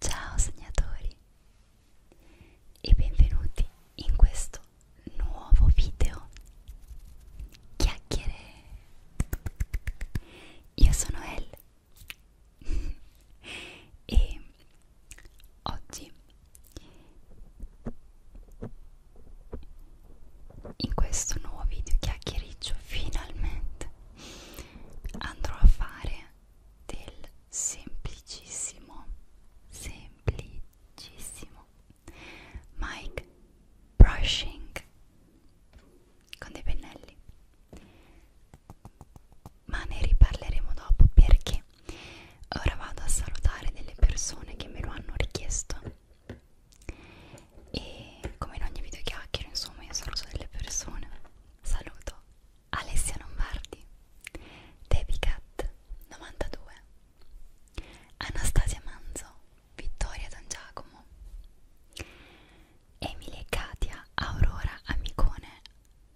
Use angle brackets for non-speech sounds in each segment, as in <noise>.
Ciao segnatori e benvenuti in questo nuovo video chiacchiere. Io sono Elle <laughs> e Oggi, in questo nuovo video chiacchiericcio, finalmente andrò a fare del semplicissimo, semplicissimo mic brushing con dei pennelli ma ne riparleremo dopo perché ok ora vado a salutare delle persone che me lo hanno richiesto e come in ogni video chiacchiero insomma io saluto delle persone saluto Alessia Lombardi Debicat 92 Anastasia Manzo Vittoria Don Giacomo Emily e Katia Aurora Amicone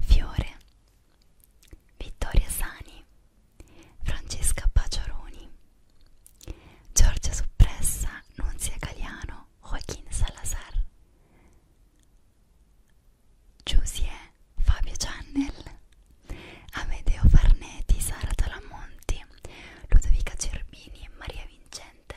Fiore, Vittoria Sani, Francesca Paciaroni, Giorgia Suppressa, Nunzia Galiano, Joaquin Salazar, Giusie, Fabio Channel, Amedeo Farneti, Sara Talamonti, Ludovica Cerbini, Maria Vincente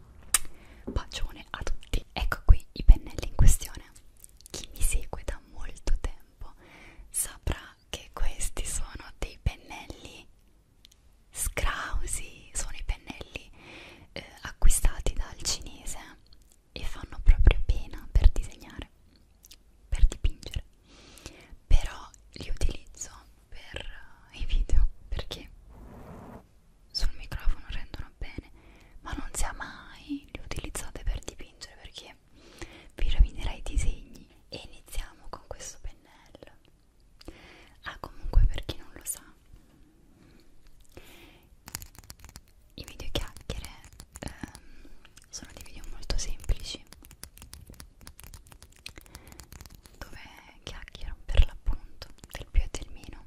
quindi bacione a tutti ecco qui i pennelli in questione chi mi segue da molto tempo saprà che questi sono dei pennelli scrausi sono i pennelli eh, acquistati dal cinese e fanno proprio pena per disegnare per dipingere però li utilizzo per eh, i video perché sul microfono rendono bene ma non sia mai li utilizzate per dipingere perché vi rovinerà i disegni e iniziamo con questo pennello ah comunque per chi non lo sa i video chiacchiere ehm, sono dei video molto semplici dove chiacchiero per l'appunto del più e del meno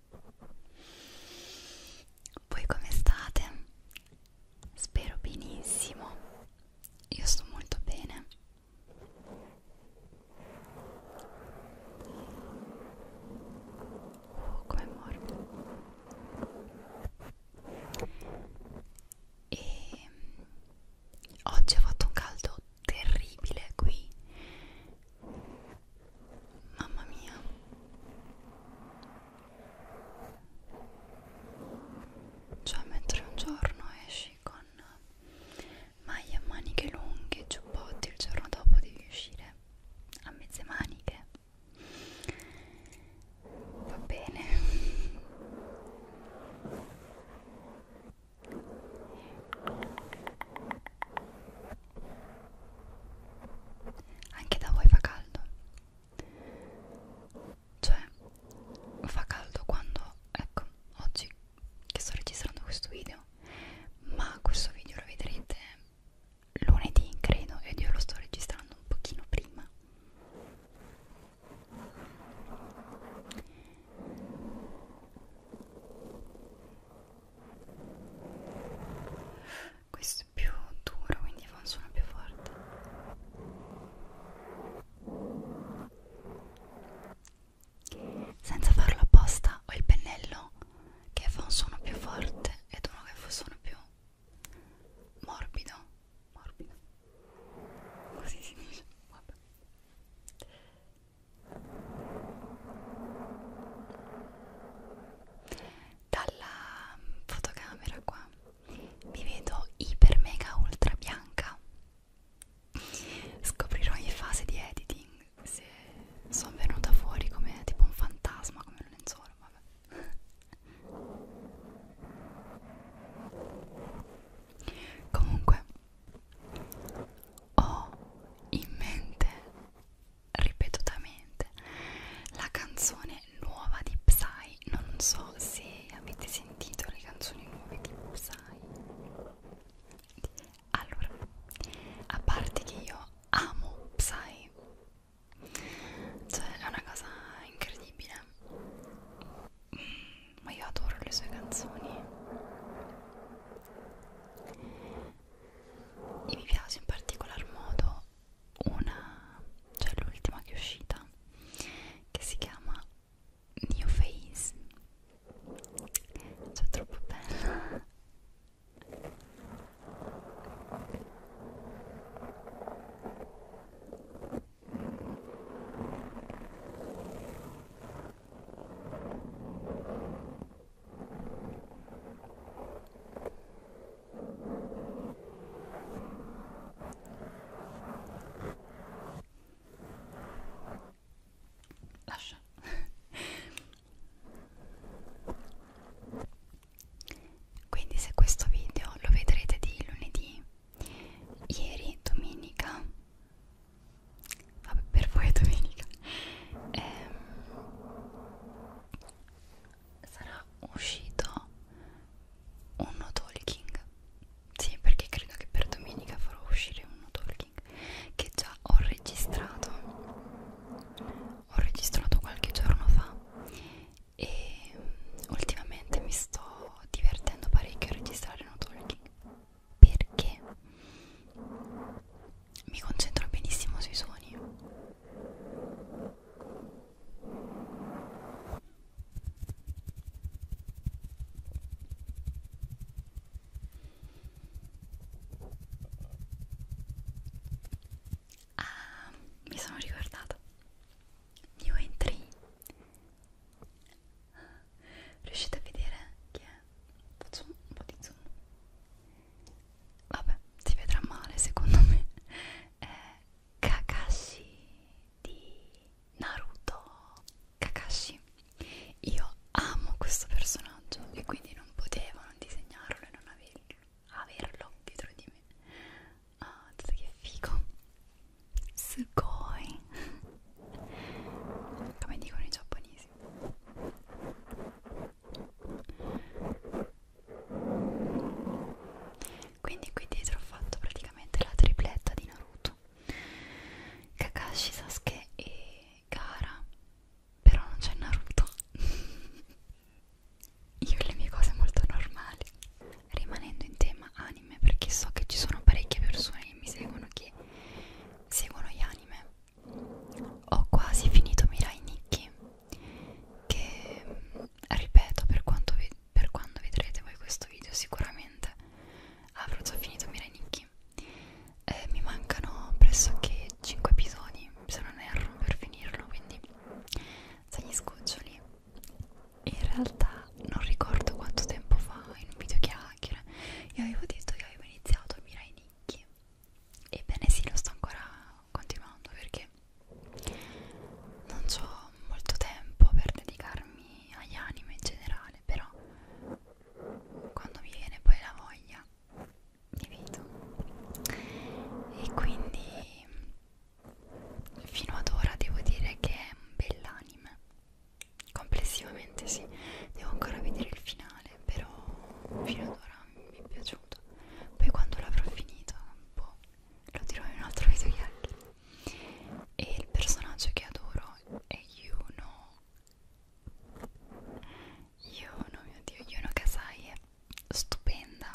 Voi come state? Spero benissimo. Io sto molto bene. Oh, come morbido. E oggi ha fatto un caldo terribile qui Mamma mia. Cioè mentre un giorno esci con maglie a maniche lunghe, giubbotti, il giorno dopo devi uscire a mezze maniche. Va bene. Anche da voi fa caldo. Cioè, fa caldo quando, ecco, oggi che sto registrando questo video, ma questo video lo vedrete lunedì, credo, ed io lo sto registrando un pochino prima questo è più duro quindi fa un suono più forte senza farlo apposta ho il pennello che fa un suono più forte ed uno che fa un suono più morbido morbido così si dice Vabbè dalla fotocamera qua mi vedo iper mega ultra bianca scoprirò in fase di editing se sono venuta fuori come tipo un fantasma come un lenzuolo vabbè <laughs> comunque ho in mente ripetutamente la canzone nuova di Psy non so se avete sentito le canzoni nuove di Psy allora a parte che io amo Psy cioè è una cosa incredibile mm, ma io adoro le sue canzoni e mi piace in particolar modo una, cioè l'ultima che è uscita, che si chiama New Face, cioè troppo bella. Lascia. Quindi se questo video lo vedrete di lunedì, ieri domenica vabbè per voi è domenica ehm, sarà uscito un no talking sì perché credo che per domenica farò uscire un no talking che già ho registrato ho registrato qualche giorno fa e mm, ultimamente mi sto divertendo parecchio a registrare no talking perché mi concentro benissimo sui suoni Ah, mi sono ricordata. Io entri riuscite a vedere chi è? Faccio un po' di zoom. Vabbè, si vedrà male secondo me. È Kakashi di Naruto. Kakashi. Io amo questo personaggio e quindi non potevo non disegnarlo e non averlo, averlo dietro di me. Ah, che figo. Sugoi come dicono i giapponesi quindi qui dietro ho fatto praticamente la tripletta di Naruto Kakashi, Sasuke e Gara però non c'è Naruto <laughs> io le mie cose molto normali rimanendo in tema anime perché so che ci sono parecchie persone che mi seguono che seguono gli anime ho quasi finito Mirai Nikki che ripeto per, vi, per quando vedrete voi questo video sicuramente avrò già finito Mirai Nikki eh, mi mancano pressoché 5 episodi se non erro per finirlo quindi se gli scoccioli in realtà non ricordo quanto tempo fa in un video che chiacchiere io avevo detto che avevo iniziato a Mirai Nicchi ebbene sì lo sto ancora continuando perché non ho molto tempo per dedicarmi agli anime in generale però quando mi viene poi la voglia mi vedo e quindi fino ad ora devo dire che è un bell'anime complessivamente sì devo ancora vedere il finale però fino ad ora mi è piaciuto poi quando l'avrò finito boh, lo dirò in un altro video e il personaggio che adoro è Yuno Yuno mio dio Yuno Kasai è stupenda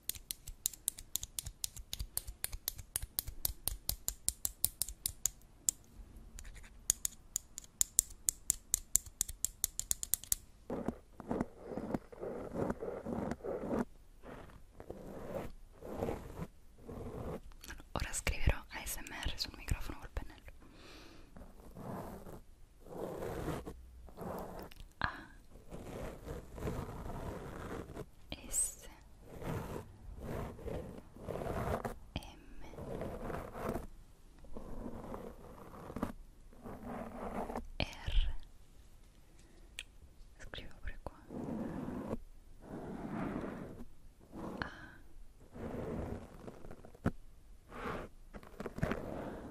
ahora escribiré ASMR un micrófono el pennello A S M R scrivo pure qua A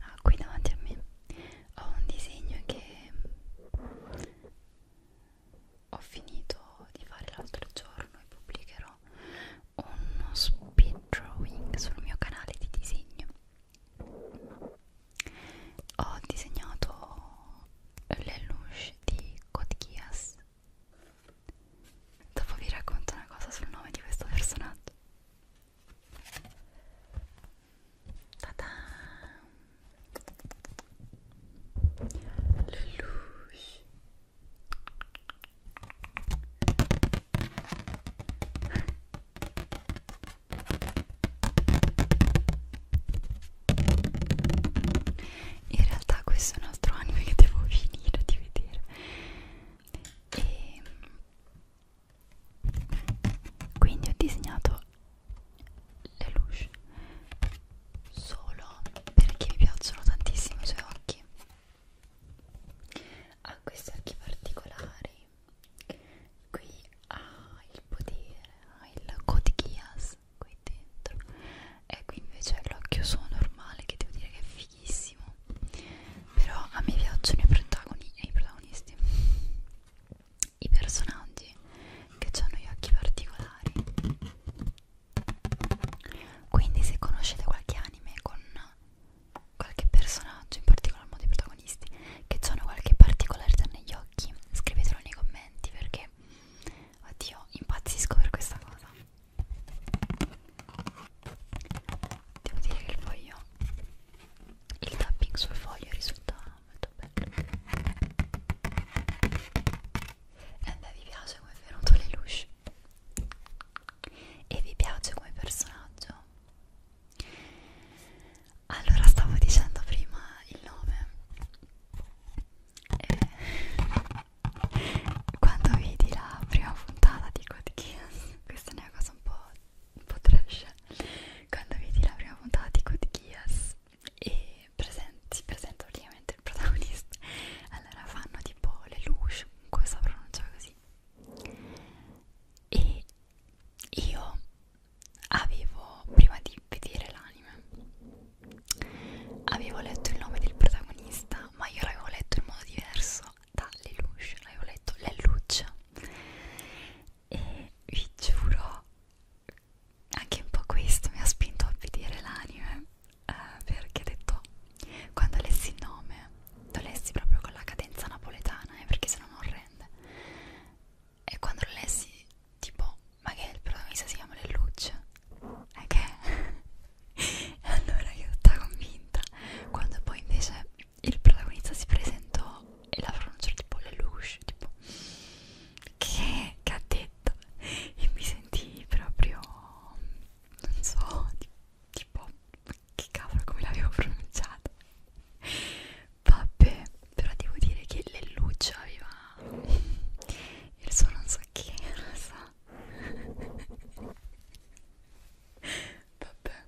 Ah, qui davanti a me ho un disegno che ho finito di fare l'altro giorno e pubblicherò uno speed drawing sul mio canale di disegno. Ho disegnato le luci di Kotkias. Dopo vi racconto una cosa sul nome di questo personaggio. Lelouch in realtà questo è un altro anime che devo <laughs> finire di vedere e quindi ho disegnato le luci solo perché mi piacciono tantissimo i suoi occhi ha questi occhi particolari qui ha il potere ha il Kotkias qui dentro e qui invece è l'occhio suo normale che devo dire che è fighissimo però a me piacciono i, protagoni i protagonisti i personaggi che hanno gli occhi particolari quindi se conoscete qualche anime con qualche personaggio in particolar modo i protagonisti che hanno qualche particolarità negli occhi scrivetelo nei commenti perché oddio impazzisco per questa cosa devo dire che il foglio il tapping sul foglio risulta molto bello e beh vi piace come è venuto Lelouch e vi piace come personaggio allora stavo dicendo prima il nome e quando vidi la prima puntata di Code Geass <laughs> questa è una cosa un po' un po' trash quando vedi la prima puntata di Good Geass e presenti, si presenta praticamente il protagonista allora fanno tipo le luci, questa pronuncia così e io avevo, prima di vedere l'anime avevo letto il nome del protagonista ma io l'avevo letto in modo diverso da Lelouch, avevo letto Lelouch e vi giuro anche un po' questo mi ha spinto a vedere l'anime eh, perché ho detto quando lessi il nome lo lessi proprio con la cadenza napoletana eh, perché se no non rende e quando lo lessi tipo ma che il protagonista si chiama Lelouch eh, <laughs> e che allora io ero tutta convinta quando poi invece il protagonista si presentò e la pronuncia tipo Lelouch tipo che, che ha detto e mi sentii proprio non so tipo che cavolo come l'avevo pronunciata vabbè però devo dire che Lelouch aveva il suo non so che rosa so. <laughs> vabbè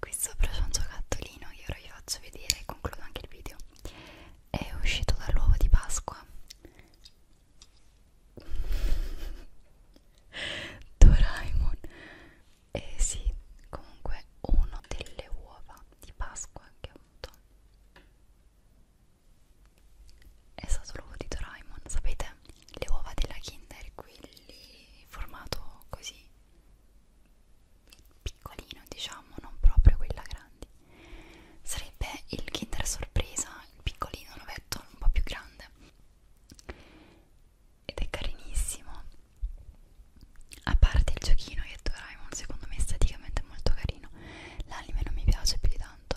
qui sopra c'è un giocattolino che ora vi faccio vedere e concludo anche il video è uscito dall'uovo di Pasqua <laughs> Doraemon eh sì, comunque uno delle uova di Pasqua che ho avuto è stato l'uovo di Doraemon, sapete? Le uova della Kinder, quelli formato così piccolino diciamo, non proprio quella grande sarebbe il Kinder Sorpresa, il piccolino l'ovetto un po' più grande ed è carinissimo a parte il giochino che Doraemon secondo me esteticamente è molto carino l'anime non mi piace più di tanto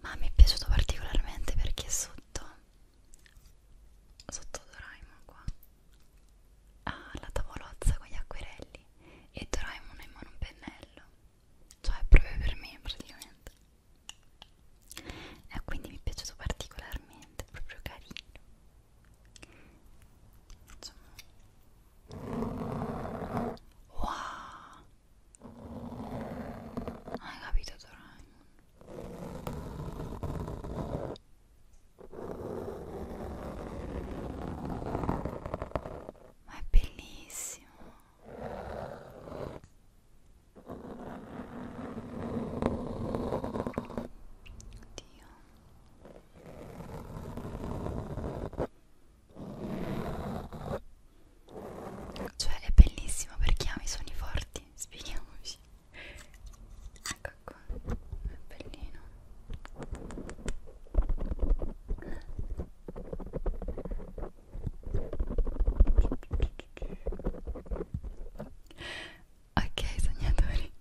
ma mi è piaciuto particolarmente perché sotto sotto Doraemon qua ha ah, la tavolozza con gli acquerelli e Doraemon ha in mano un pennello cioè è proprio per me praticamente e quindi mi è piaciuto particolarmente proprio carino Facciamo... wow hai capito Doraemon ma è bellissimo. Oddio. Cioè è bellissimo perché ami i suoni forti quindi spieghiamoci ecco qua è bellino ok sognatori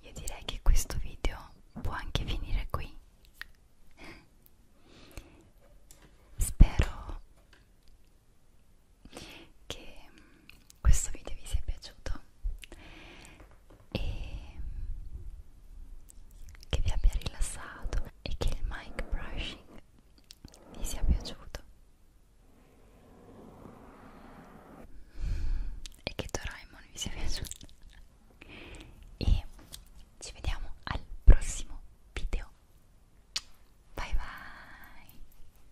io direi che questo video può anche finire qui spero che mm, questo video vi sia piaciuto e che vi abbia rilassato e che il mic brushing vi sia piaciuto e che Doraemon vi sia piaciuto e ci vediamo al prossimo video bye bye